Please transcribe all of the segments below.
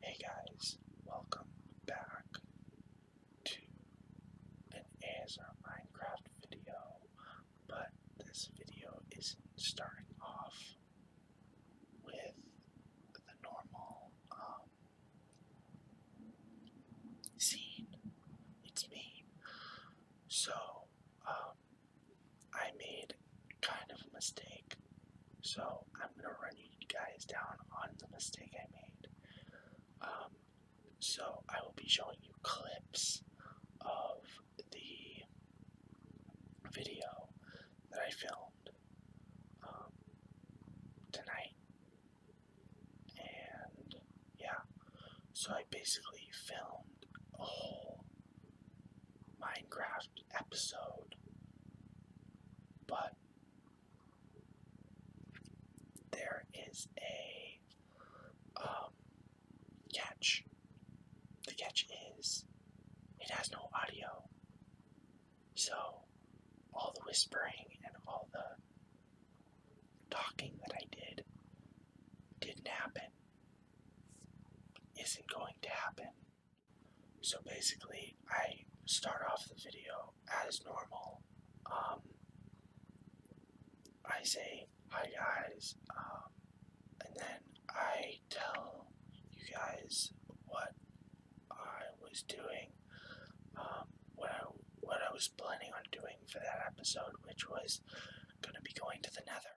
Hey guys, welcome back to an ASR Minecraft video, but this video isn't starting off with the normal um, scene. It's me. So, um, I made kind of a mistake. So I'm gonna run you guys down on the mistake I made. Um, so I will be showing you clips of the video that I filmed um, tonight, and yeah, so I basically filmed a whole Minecraft episode, but there is a um, catch. The catch is it has no audio, so all the whispering and all the talking that I did didn't happen, isn't going to happen. So basically, I start off the video as normal. Um, I say, hi guys, um, and then I tell you guys what I was doing, um, what what I was planning on doing for that episode, which was going to be going to the nether.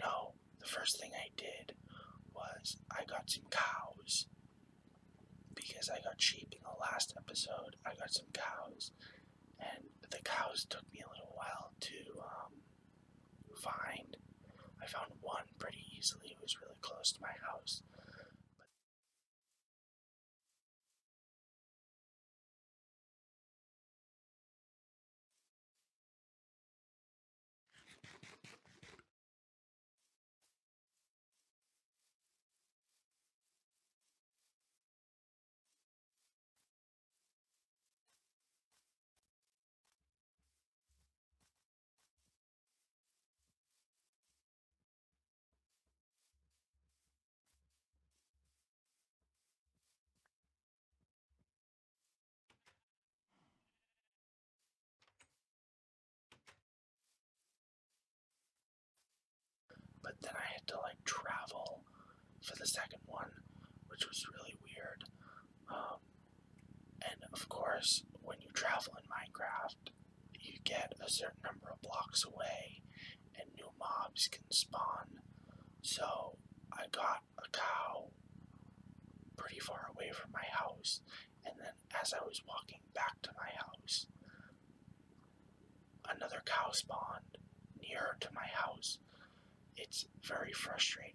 No, the first thing I did was I got some cows because I got sheep in the last episode. I got some cows and the cows took me a little while to um, find. I found one pretty easily. It was really close to my house. But then I had to like travel for the second one, which was really weird. Um, and of course, when you travel in Minecraft, you get a certain number of blocks away, and new mobs can spawn. So I got a cow pretty far away from my house, and then as I was walking back to my house, another cow spawned near to my house. It's very frustrating.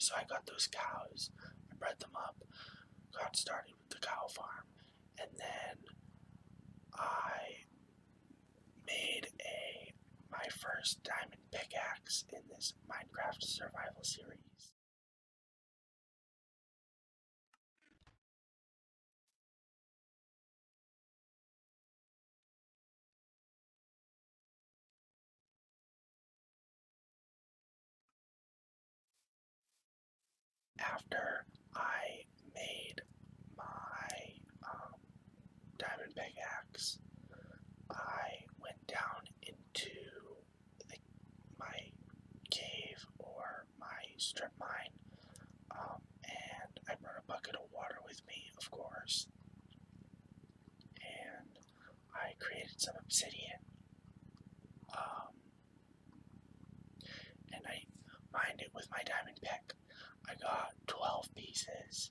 So I got those cows, I bred them up, got started with the cow farm, and then I made a my first diamond pickaxe in this Minecraft survival series. After I made my um, diamond pickaxe. I went down into my cave or my strip mine, um, and I brought a bucket of water with me, of course, and I created some obsidian. Um, and I mined it with my diamond pick. I got 12 pieces.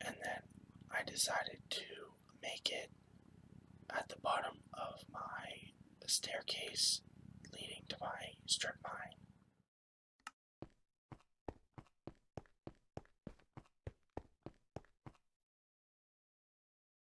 And then I decided to make it at the bottom of my staircase leading to my strip mine.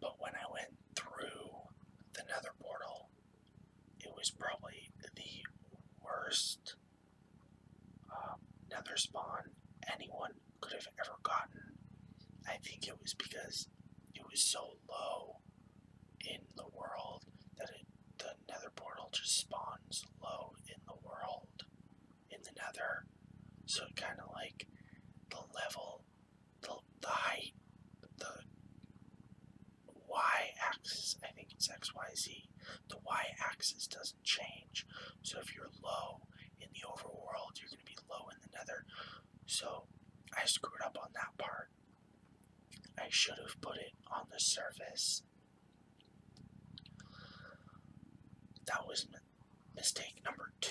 But when I went through the nether portal, it was probably the worst um, nether spawn anyone could have ever gotten. I think it was because it was so low in the world that the nether portal just spawns low in the world in the nether. So kind of like the level, the, the height, the y-axis, I think it's XYZ, the y-axis doesn't change. So if you're low in the overworld, you're going to be low in the nether. So I screwed up on that part. I should have put it on the surface that was mistake number two.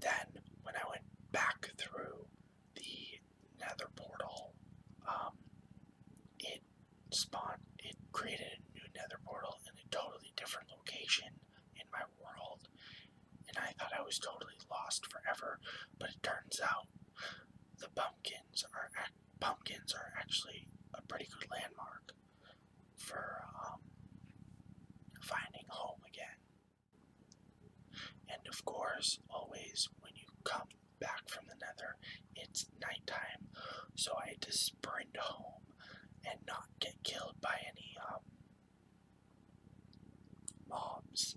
Then, when I went back through the nether portal, um, it spawned, it created a new nether portal in a totally different location in my world. And I thought I was totally lost forever, but it turns out the pumpkins are pumpkins are actually a pretty good landmark for um, finding home again. And of course, always when you come back from the nether, it's nighttime, so I had to sprint home and not get killed by any um, mobs.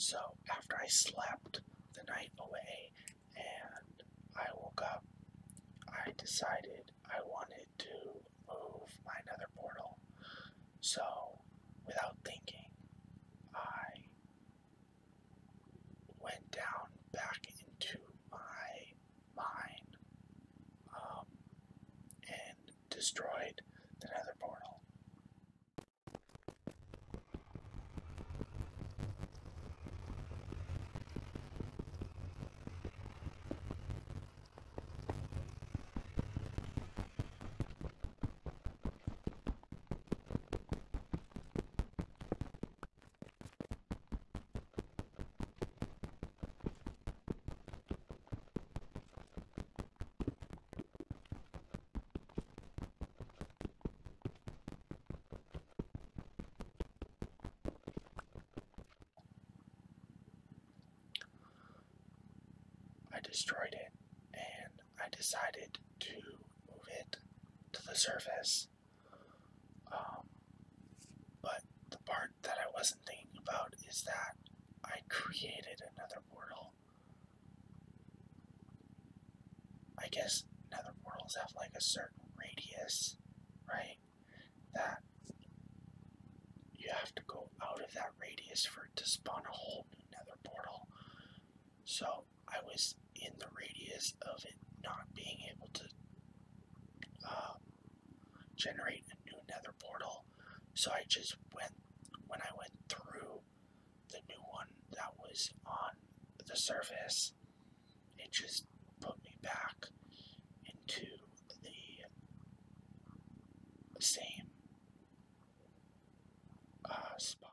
So, after I slept the night away and I woke up, I decided I wanted to move my nether portal. So, without thinking, I went down back into my mined, um, and destroyed the nether portal. I destroyed it and I decided to move it to the surface um, but the part that I wasn't thinking about is that I created another portal. I guess nether portals have like a certain radius, right? That you have to go out of that radius for it to spawn a whole new nether portal. So I was in the radius of it not being able to uh, generate a new nether portal. So I just went, when I went through the new one that was on the surface, it just put me back into the same uh, spot.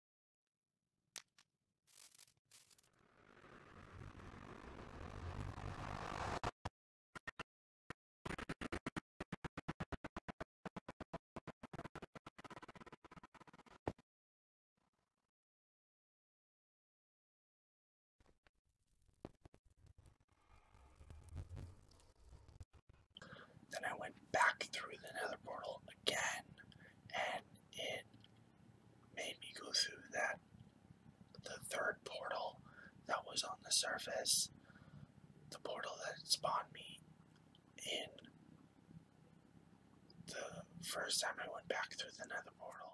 Then I went back through the nether portal again and it made me go through that the third portal that was on the surface, the portal that spawned me in the first time I went back through the nether portal.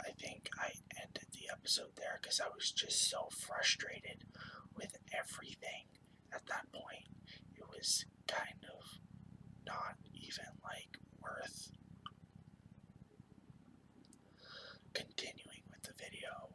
I think I ended the episode there because I was just so frustrated with everything at that point. It was kind of not even like worth continuing with the video